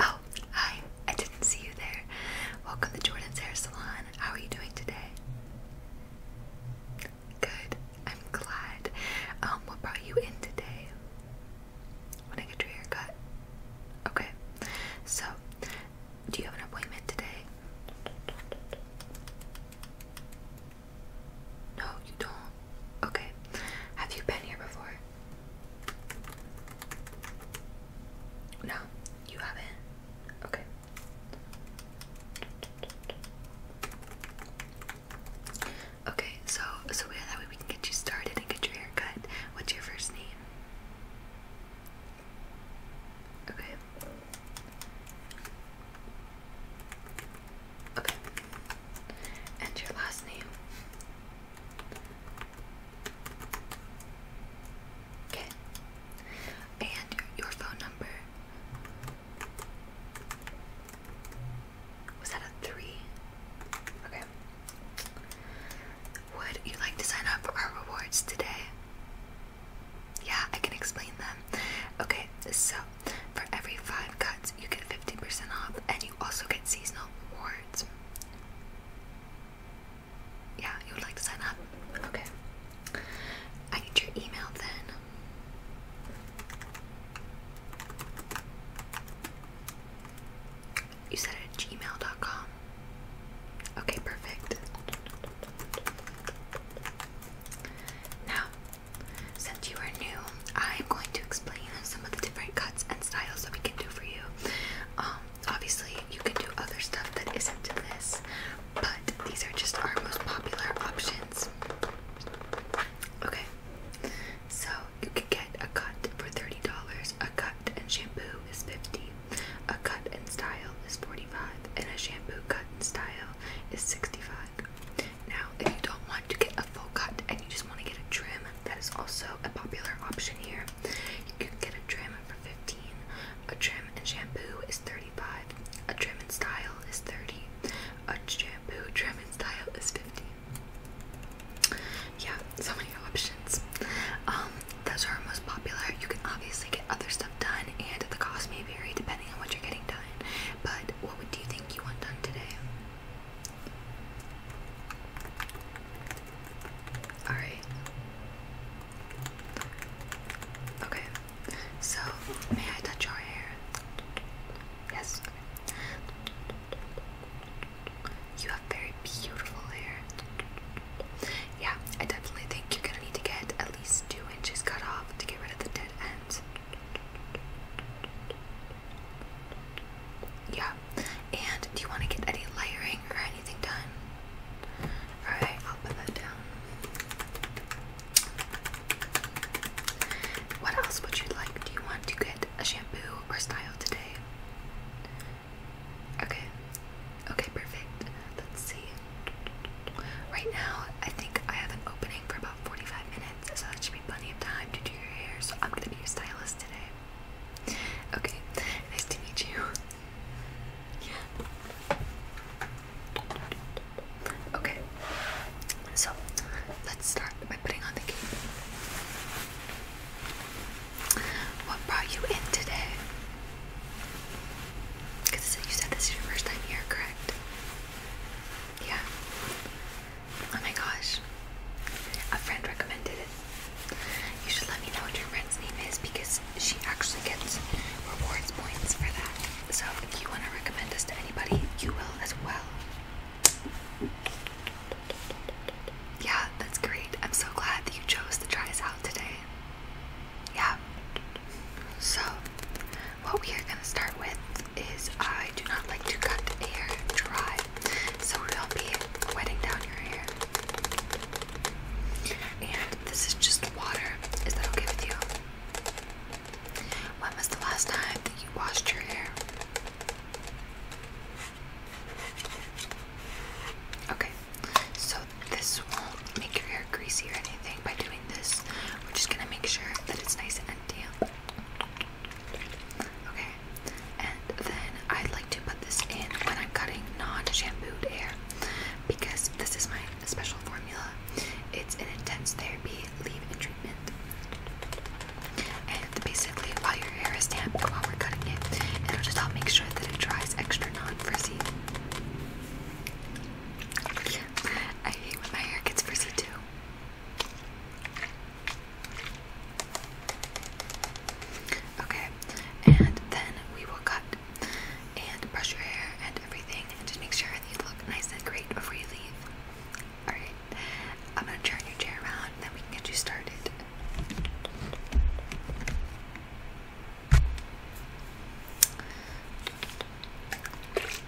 Oh, hi. I didn't see you there. Welcome to Jordan's Hair Salon. How are you doing today? Good. I'm glad. Um, what brought you in today? When I get your haircut? Okay. So, do you have an appointment today? No, you don't. Okay. Have you been here before? No, you haven't. Okay. Okay, so so yeah, that way we can get you started and get your hair cut. What's your first name? Okay. Okay. And your last name. Okay. And your phone number. Was that a three? Okay. Would you like to sign up for our rewards today? Yeah, I can explain them. Okay, so for every five cuts, you get 50% off, and you also get seasonal rewards. Yeah, you would like to sign up? Okay. I need your email then. You said it at gmail.com. Okay, perfect. Now, since you are new, I am going to explain some of the different cuts and styles that we can do for you. Um, obviously, you can do other stuff that isn't this, but these are just our most popular options. Okay, so you can get a cut for $30, a cut and shampoo is $50, a cut and style is $45, and a shampoo cut and style is 65 Now, if you don't want to get a full cut and you just want to get a trim, that is also a popular option here. You can get a trim for 15 a trim and shampoo is 35 A trim and style is 30 A shampoo, trim and style is 50 Yeah, so many options. Um, those are our most popular. You can obviously get other stuff done and the cost may vary depending on what you're getting done. But what would do you think you want done today? Alright. Okay. So, may I touch your hair? Yes. You have very beautiful hair. Yeah, I definitely think you're gonna need to get at least two inches cut off to get rid of the dead ends. Yeah. And do you want to get any layering or anything done? Alright, I'll put that down. What else would you like? Do you want to get a shampoo or style today? Okay. Okay, perfect. Let's see. Right now, I think I have an opening for about 45 minutes, so that should be plenty of time to do your hair. So I'm gonna be your stylist today. Okay, nice to meet you. Yeah. Okay, so let's start by putting on the cape. What brought you in today? Because you said this is your first time here, correct? Yeah. Oh my gosh. A friend recommended it. You should let me know what your friend's name is because she actually gets rewards points for that. So if you want to recommend us to anybody, you will as well. Yeah, that's great. I'm so glad that you chose to try us out today. Yeah. So, what we are going to start with is I do not like to cut hair dry, so we'll be wetting down your hair. And this is just water. Is that okay with you? When was the last time that you washed your hair? Okay, so this won't make your hair greasy or anything by doing this. We're just gonna make sure that it's nice and empty. Okay, and then I like to put this in when I'm cutting non-shampooed hair because this is my special formula. It's an intense therapy leave-in treatment. And basically, while your hair is damp while we're cutting it, it'll just help make sure that it dries extra non-frizzy. I hate when my hair gets frizzy too. Okay, and then we will cut and brush your hair and everything and just make sure that you look nice and great before you leave. Alright, I'm gonna turn your chair around and then we can get you started.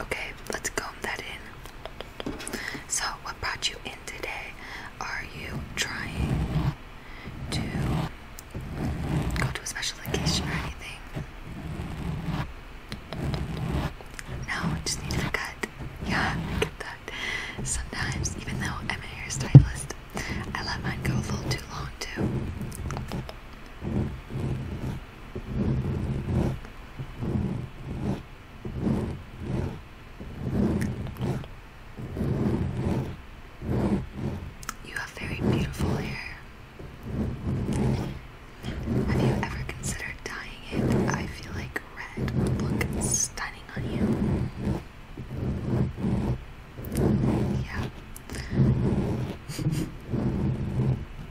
Okay, let's comb that in. So, what brought you in today? Are you trying to go to a special occasion or anything? No, just need a cut. Yeah, Sometimes, even though I'm a hairstylist, I let mine go a little too long too. You have very beautiful hair. Have you ever considered dyeing it? I feel like red would look stunning on you. Yeah.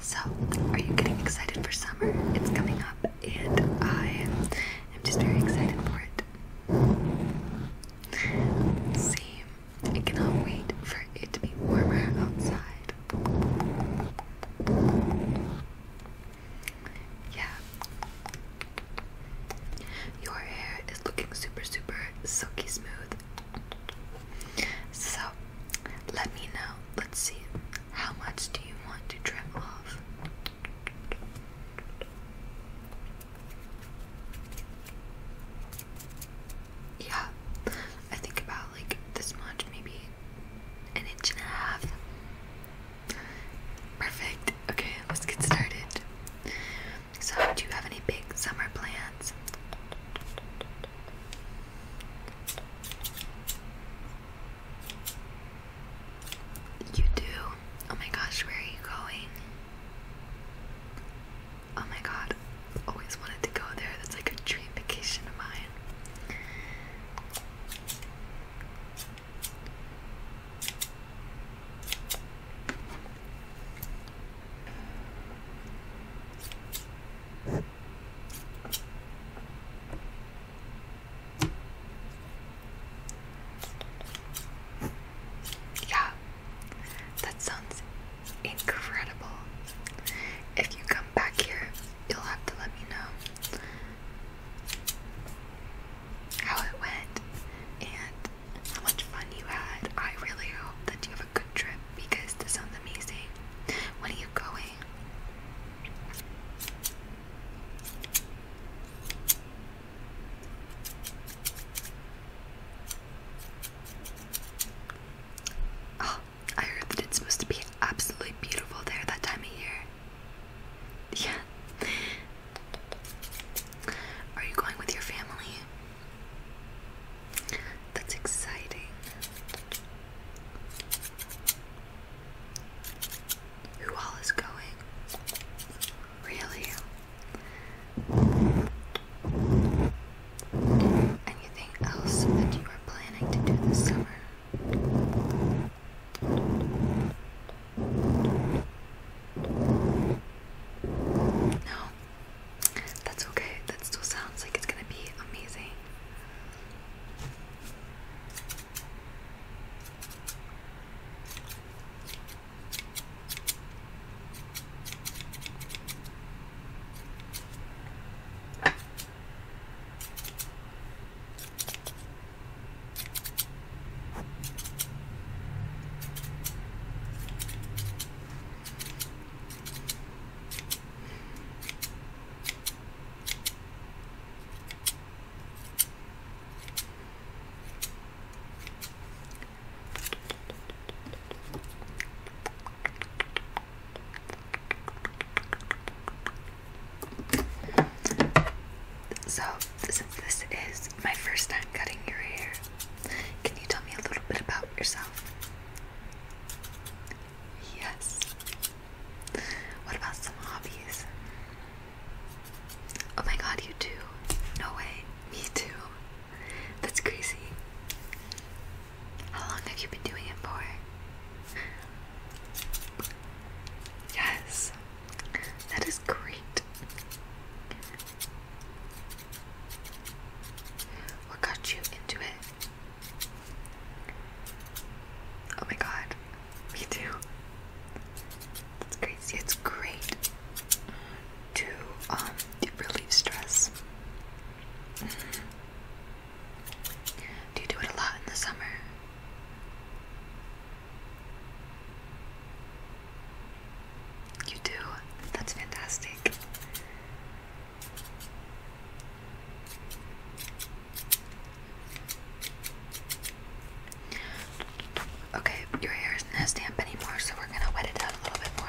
So, are you getting excited for summer? It's coming up, and I am just very excited for it. See, I cannot wait for it to be warmer outside. Yeah. Your hair is looking super, super silky smooth. So let me know. Let's see. How much do you want to trim off? Yeah, I think about like this much, maybe an inch and a half. Perfect. Okay, let's get started. So, do you have any big summer plans? You do? Oh my gosh, where are you going? Oh my god, always wanted to go there. That's like a dream vacation of mine. Yeah, that sounds incredible. If you come back here, you'll have to let me know how it went and how much fun you had. I really hope that you have a good trip because this sounds amazing. When are you going? Oh, I heard that it's supposed to be absolutely beautiful there that time of year. Yeah. Are you going with your family? That's exciting. Who all is going? Really? Anything else that you are planning to do this summer? No. That's okay. That still sounds like it's gonna be amazing. So, since this is my first time cutting your hair, can you tell me a little bit about yourself? Yes. What about some hobbies? Oh my god, you too. No way. Me too. That's crazy. How long have you been doing it for? Yes. That is great. What got you into it? Oh my god, me too. That's crazy. It's great to um relieve stress. Mm-hmm. Do you do it a lot in the summer? You do? That's fantastic. Okay, your hair isn't as damp anymore, so we're gonna wet it down a little bit more.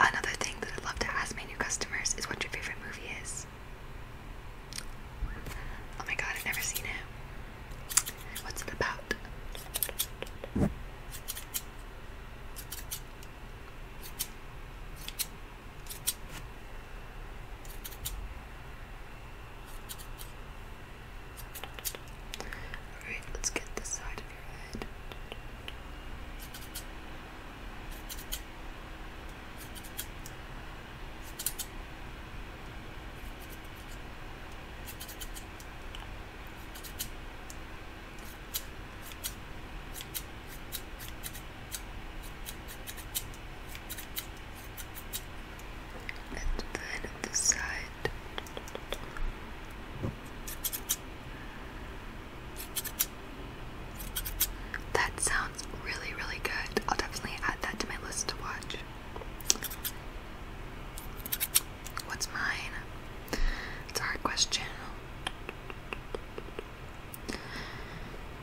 Another thing that I'd love to ask my new customers is what your favorite movie is. Oh my god, I've never seen it. What's it about? Alright, let's get this side of your head and then the side. That sounds really, really good. I'll definitely add that to my list to watch. What's mine? It's a hard question.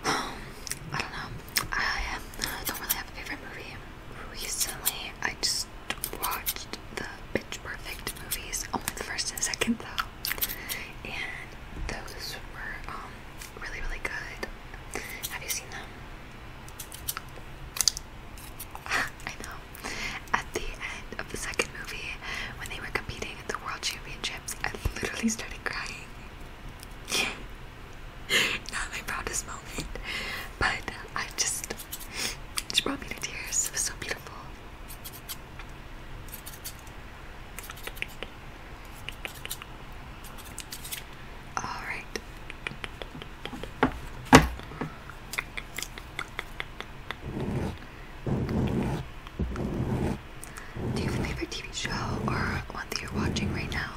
Um, I don't know. I don't really have a favorite movie. Recently, I just watched the Bitch Perfect movies, only the first and second though, and those were um really, really good. Have you seen them? I know. At the end of the second movie, when they were competing at the World Championships, I literally started crying. Not my proudest moment, but I just, she brought me to tears. It was so beautiful. All right. Do you have a favorite TV show or one that you're watching right now?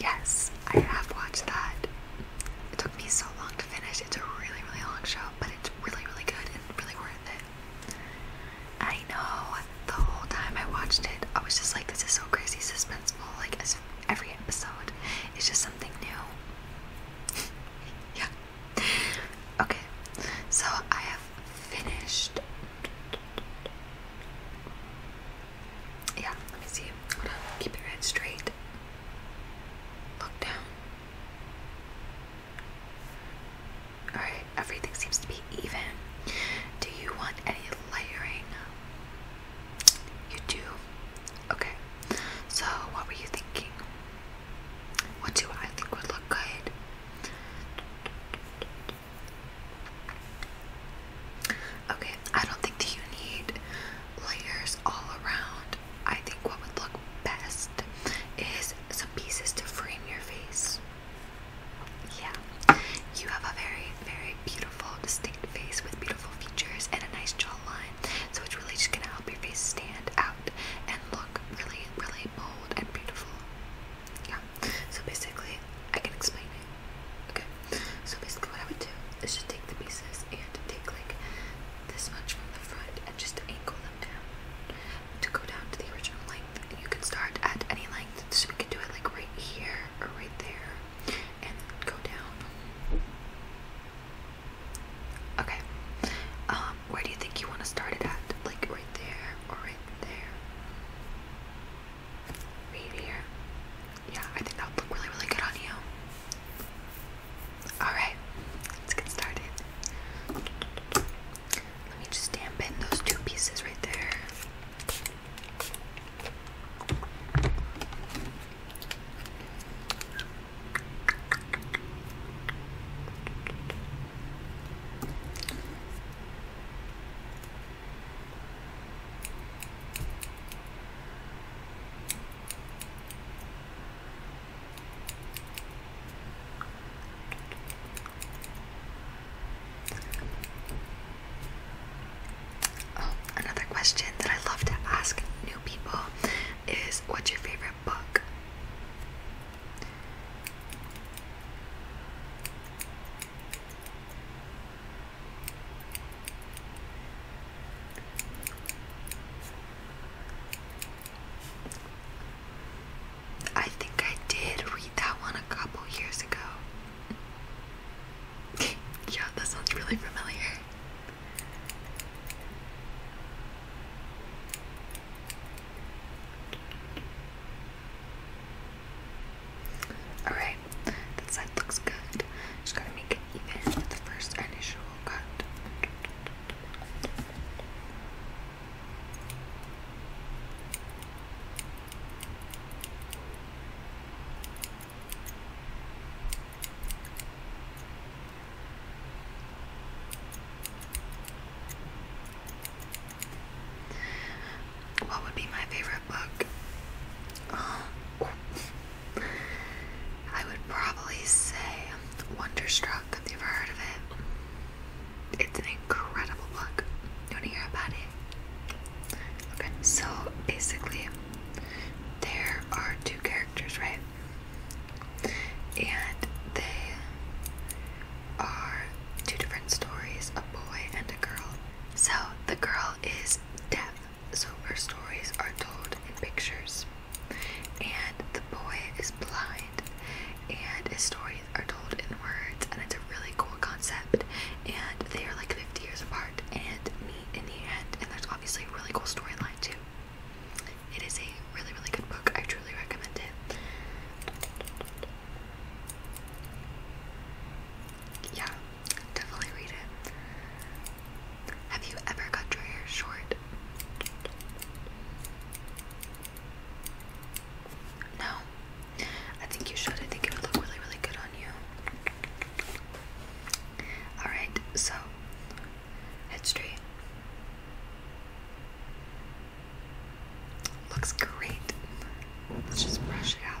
Yes, I have watched that. It took me so long to finish. It's a really, really long show, but it's really, really good and really worth it. I know the whole time I watched it, I was just like, this is so crazy suspenseful. Like, every episode is just something new. yeah. Okay, so I have finished. Yeah, let me see. keep it right straight. Look down. Alright, everything seems to be even. Do you want any layering? You do? Okay. So, what were you thinking? What do I think would look good? Okay, I don't think you need layers all around. I think what would look best is some pieces to frame your face. Yeah, you have a very, very beautiful, distinct face with beautiful features and a nice jawline. So it's really just gonna help your face stand out and look really, really bold and beautiful. Yeah. So basically, I can explain it. Okay. So basically, what I would do is just take the pieces and take like this much from the front and just angle them down to go down to the original length. And you can start at any length, so we can do it like right here or right there and go down. Okay, um, where do you think you want to start it at? Like right there or right there? Right here? yeah, I think that would look really, really good on you. Alright, let's get started. Let me just dampen those two pieces right there. Oh, another question that I love to ask new people is what's your favorite book? I think I did read that one a couple years ago. yeah, that sounds really familiar. Alright, that side looks good. Just gotta make it even with the first initial god. What would be my favorite book? I would probably say Wonderstruck, if you ever heard of it. It's an incredible book. You want hear about it? Okay, so basically, there are two characters, right? And they are two different stories a boy and a girl. So the girl is deaf, so her stories are told in pictures. And the boy is blind, and his stories are told in words, and it's a really cool concept. And they are like 50 years apart and meet in the end, and there's obviously a really cool storyline too. It is a really, really good book. I truly recommend it. Yeah, Definitely read it. Have you ever cut your hair short? No. I think you should. I think it would look really, really good on you. Alright, so head straight. Looks great. Let's just brush it out.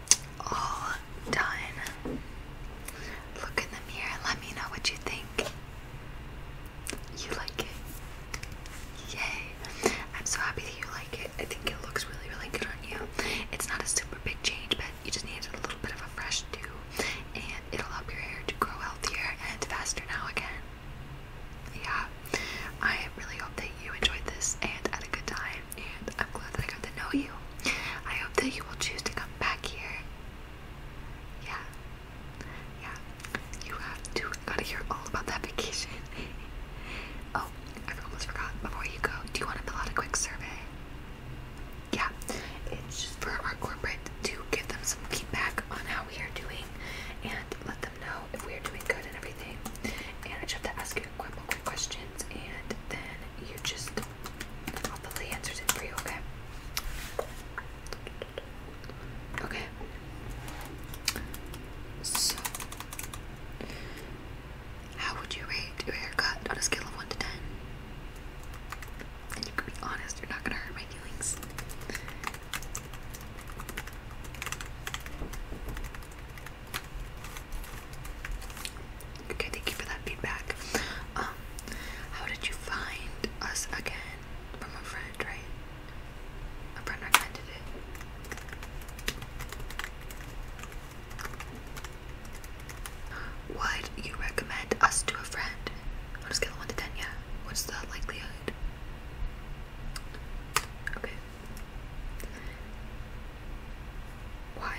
all done. Look in the mirror, let me know what you think. You like it. Yay. I'm so happy that you like it. I think it looks really, really good on you. It's not a super big change, but you just need a little bit of a fresh do, and it'll help your hair to grow healthier and faster now again. Yeah. I really hope that you enjoyed this and had a good time and I'm glad that I got to know you. I hope that you will choose to come back here. Yeah, yeah. You have to gotta hear all about that vacation. oh, I almost forgot. Before you go, do you want to fill out a quick survey? Yeah, it's just for our corporate to give them some feedback on how we are doing and let them know if we are doing good and everything. And I just have to ask you like quick questions and then you just I'll put the answers in for you, okay? Okay. So how would you rate your haircut on a scale of one to ten? And you can be honest, you're not gonna hurt my feelings. Okay, thank you for that feedback. Um, how did you find us again? From a friend, right? A friend recommended it. Would you recommend us to a friend? On a scale of 1 to 10, What's the likelihood? Okay. Why?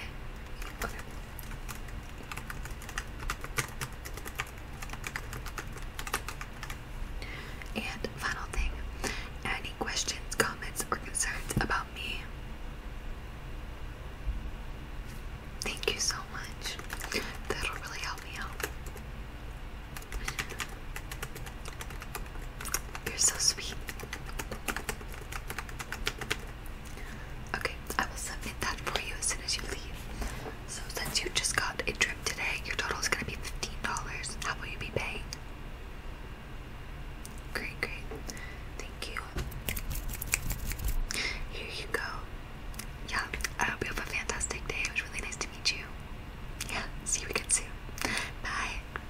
And final thing, any questions, comments, or concerns about me? Thank you so much. That'll really help me out. You're so sweet. Okay, I will submit that for you as soon as you leave. So since you just got a trip today, your total is gonna be fifteen dollars. How will you be paying? Great, great. Thank you. Here you go. Yeah, I hope you have a fantastic day. It was really nice to meet you. Yeah, see you again soon. Bye.